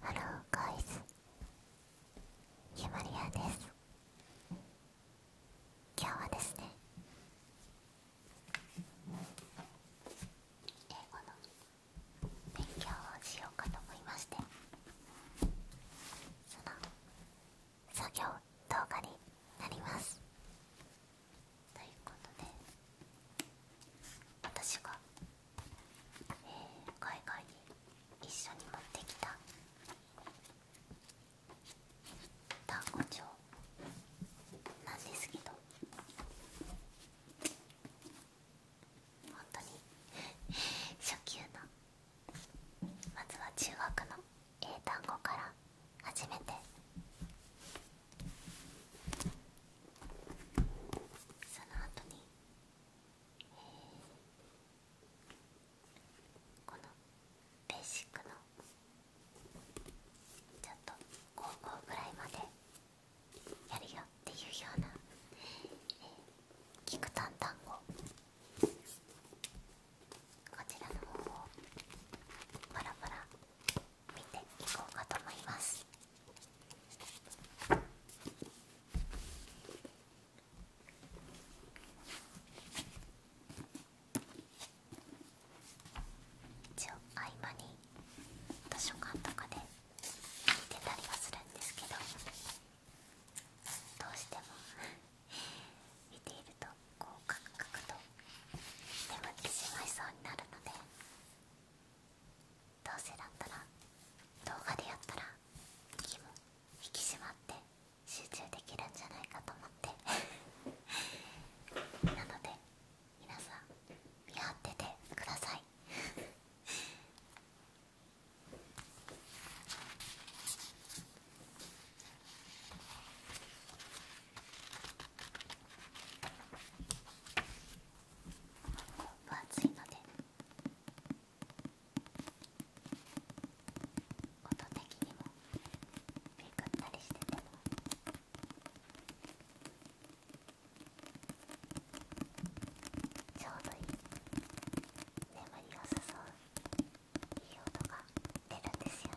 ハローガイズゆまりやです今日はですね英語の勉強をしようかと思いましてその作業動画になります。ということで私が、え海外に一緒に持ってきた単語帳なんですけど本当に 初級のまずは中学の英単語から初めてその後に、えこのベーシックのちょっと高校ぐらいまでやるよっていうような、聞くキクタン単語こちらの方をパラパラ見ていこうかと思います。一応合間に図書館とかで見てたりはするんですけどどうしても 見ているとこうカクカクと眠ってしまいそうになるのでどうせだったら動画でやったら気も引き締まって集中できるんじゃないかと思って なので皆さん見張っててください 分厚いので音的にもめくったりしててちょうどいい眠りを誘ういい音が出るんですよね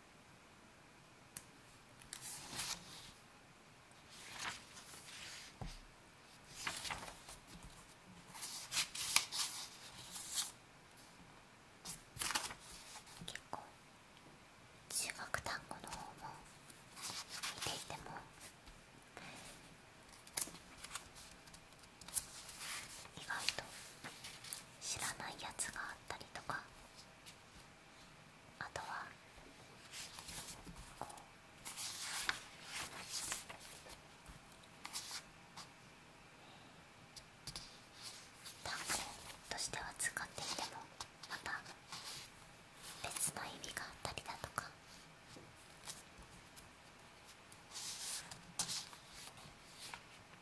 結構中学単語の方も見ていても意外と知らないやつがああたりとかあとはこう単語としては使っていてもまた別の意味があったりだとか。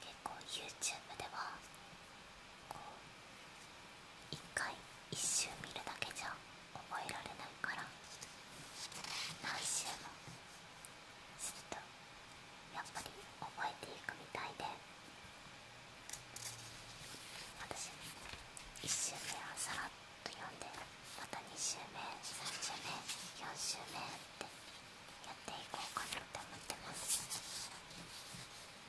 結構 YouTube ではこう一回1周見るだけじゃ覚えられないから何周もするとやっぱり覚えていくみたいで私1周目はさらっと読んでまた2周目3周目4周目ってやっていこうかなって思ってます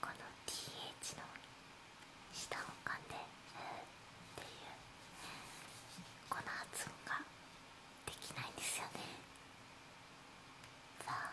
この TH の下を噛んで「う」っていうこの発音ができないんですよね。さあ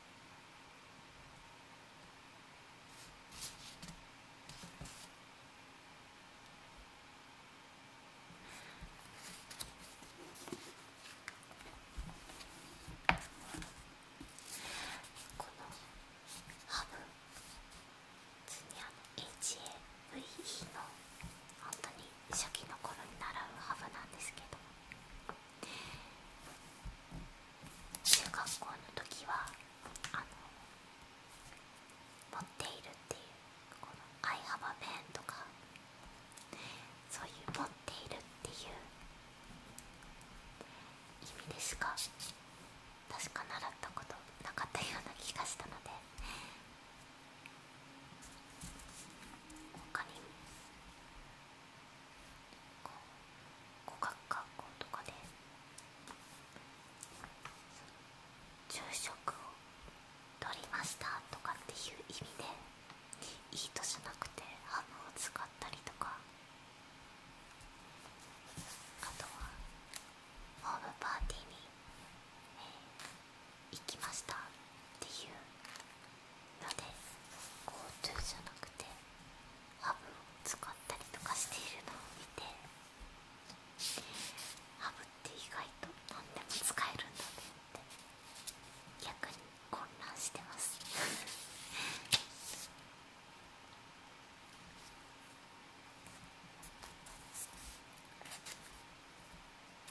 このハブ普通にあの h a v の本当に初期の頃に習うハブなんですけど。中学校の時は持っているっていうこの「I have a p e とかそういう持っているっていう意味でしか確か習ったことなかったような気がしたので他にこう語学学校とかで昼食を取りましたとかっていう意味でいいとじゃなくてハムを使ったりとかあとはホームパーティーに、えー、行きましたっていうので GoTo じゃなくてハブを使ったりとかしているのを見てハブって意外と何でも使えるんだねって逆に混乱してます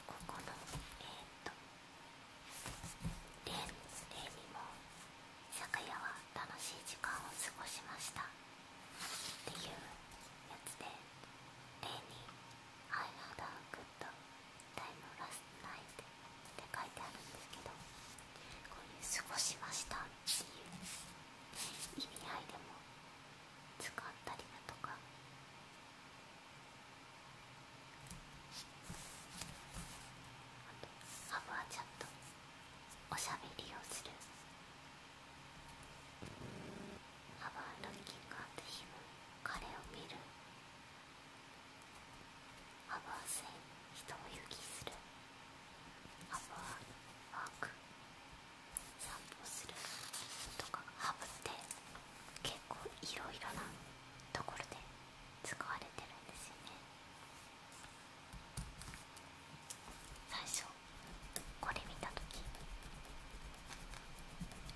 ここのえっとレイにも昨夜は楽しい時間を過ごしましたっていうやつで例に「I had a good time last night」って書いてあるんですけどこういう「過ごしました」っていう意味合いでも使ったりだとかあと、アブアチャット。おしゃべりをするハブはルッキングアンドヒム彼を見るアブイ線人を行きするアブア、ワーク散歩するとかハブって結構いろいろなところで使われてるんですよね最初これ見た時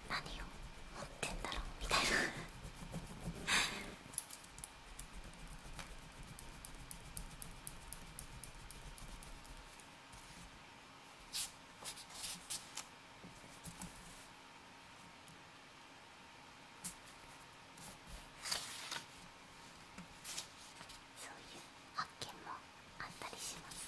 何を持ってんだろうみたいなそういう発見もあったりします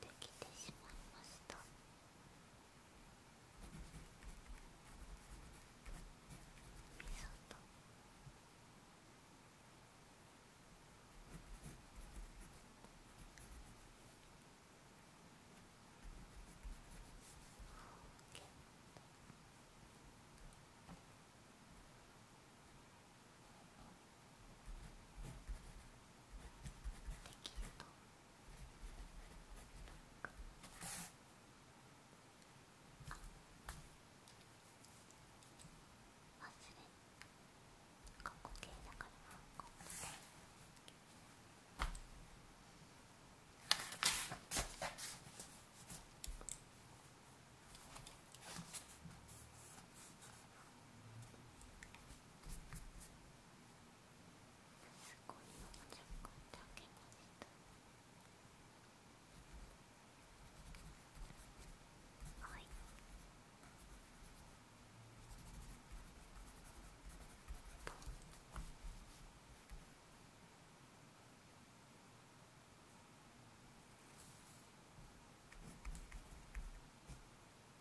できてしまいましたとできるとあ忘れ過去形だからなここすごいのが若干だけにしたはい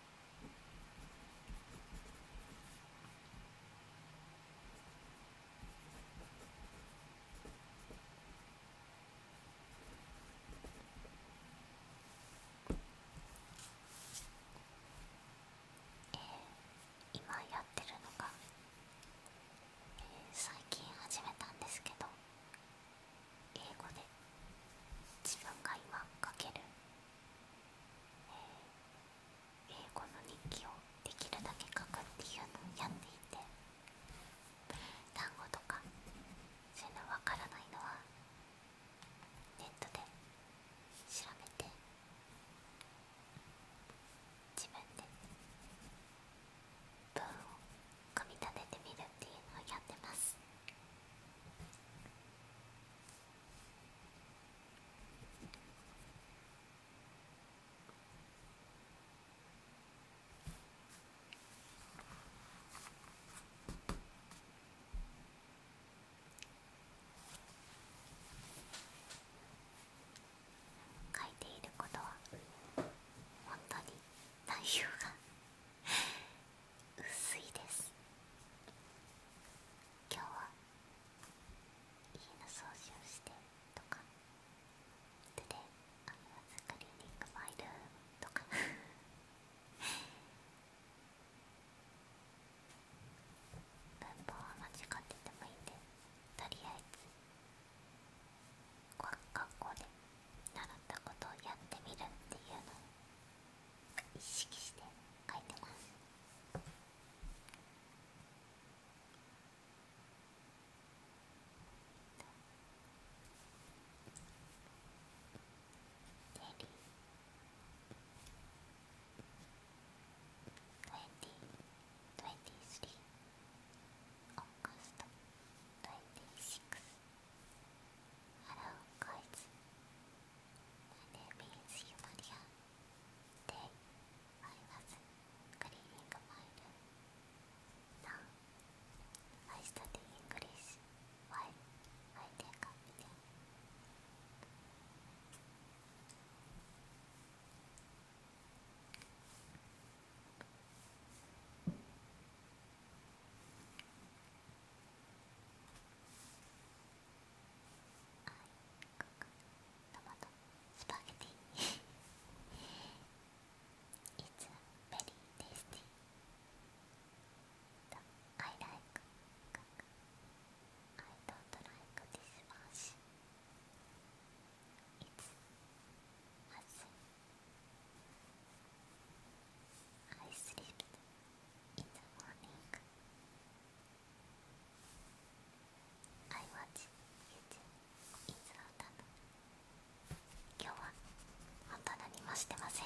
えー、今やってるのが、えー、最近始めたんですけど英語で自分が今かける英語の日記をできるだけ書くっていうのをやっていて単語とかそういうのわからないのはネットで調べて自分で文を組み立ててみるっていうのをやってます。書いていることは本当に内容が薄いです今日は家の掃除をしてとか手でアムラクリーニングマイルとか文法は間違っててもいいんでとりあえず学校で習ったことをやってみるっていうの意識して書いてますゼリー2023オーガスト26ハローコイズ2025 My name is Yumaria. Today I was cleaning my room. Now I study English while I take a video. Hello, ここトマトスパゲティ It's very tasty I like I don't like this much It's as I sleep in the morning. I watch YouTube in the autumn. 今日は本当何もしてません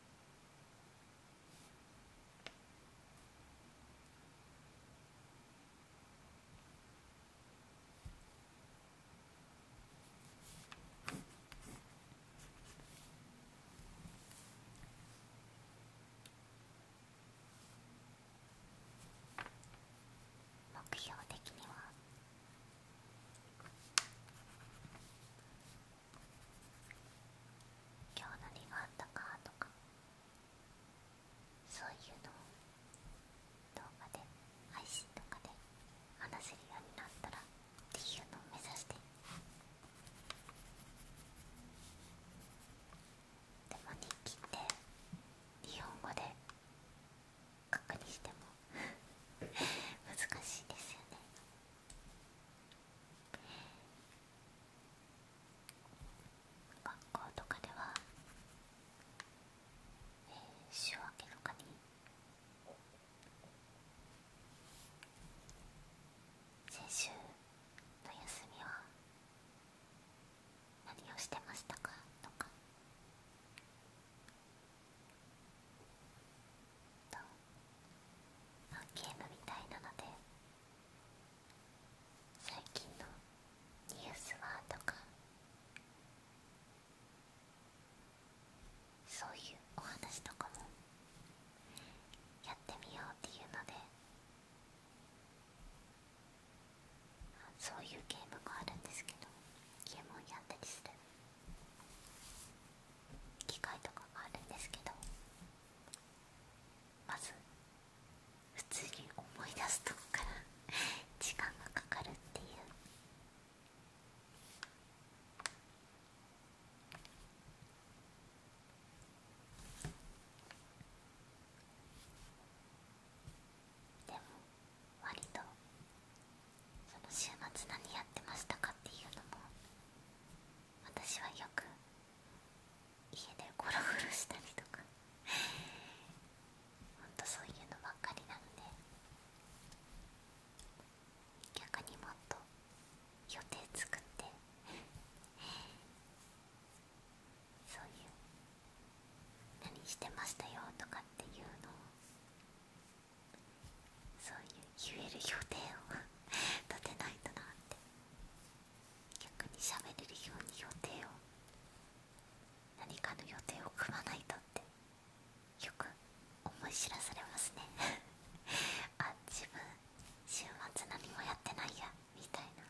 目標的には今日何があったかとかそういうのを動画で配信とかで話せるようになったらっていうのを目指してでも日記って日本語で書くにしても 難しいですよね学校とかでは、えー、週明けとかに先週の休みは何をしてましたかとかゲームみたいなので最近のニュースはとかそういうお話とかもやってみようっていうのでそういうゲームがあるんですけどゲームをやったりする。機械とかがあるんですけどまず普通に思い出すとこから時間がかかるっていう。でも割とその週末何やってましたかっていうのも私はよく家でゴロゴロしたりとか本当 そういうのばっかりなので逆にもっと予定作って そういう何してましたよとかっていうのをそういう言える予定を立てないとなって逆にしゃべれるように予定を何かの予定を組まないとってよく思い知らされますね あ自分週末何もやってないやみたいな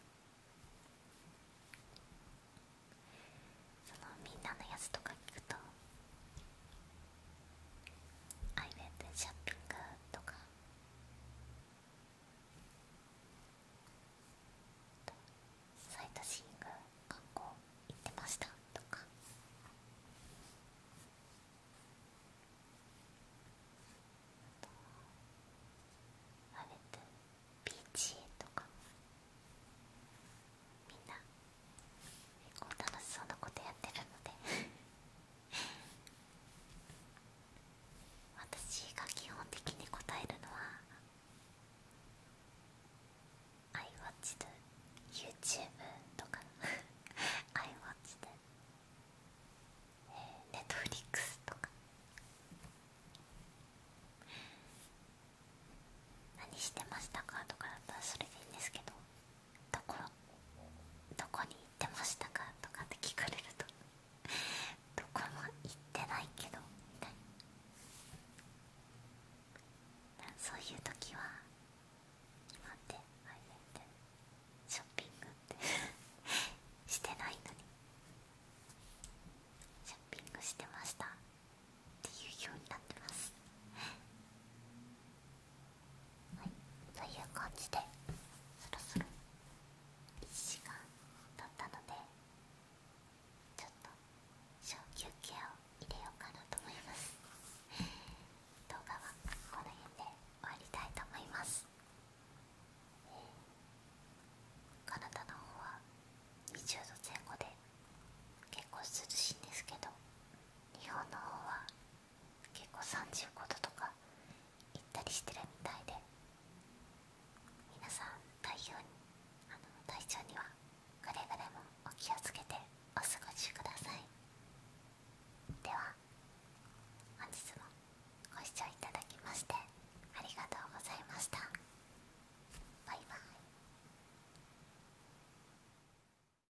そのみんなのやつとか聞くとアイウェイでショッピングとかサイドシング観光行ってましたとかアイウェイでビーチとかみんな結構楽しそうなことやってるので 私が基本的に答えるのは「アイウォッチで d YouTube」とか「I watched、えー、Netflix」とか「何してましたか?」とかだったらそれでいいんですけど。どこどこに行ってましたかとかって聞かれるとどこも行ってないけどみたいなそういう時は待ってあれってショッピングってしてないのにショッピングしてましたっていうようになってますはいという感じでそろそろ1時間経ったのでちょっと小休憩を入れようかなと思います 動画はこの辺で終わりたいと思いますカナダの方は20度前後で結構涼しいんですけど日本の方は結構35度とか行ったりしてるみたいで皆さん体調あの体調にはくれぐれもお気をつけてお過ごしくださいでは本日もご視聴いただきましてありがとうございましたバイバイ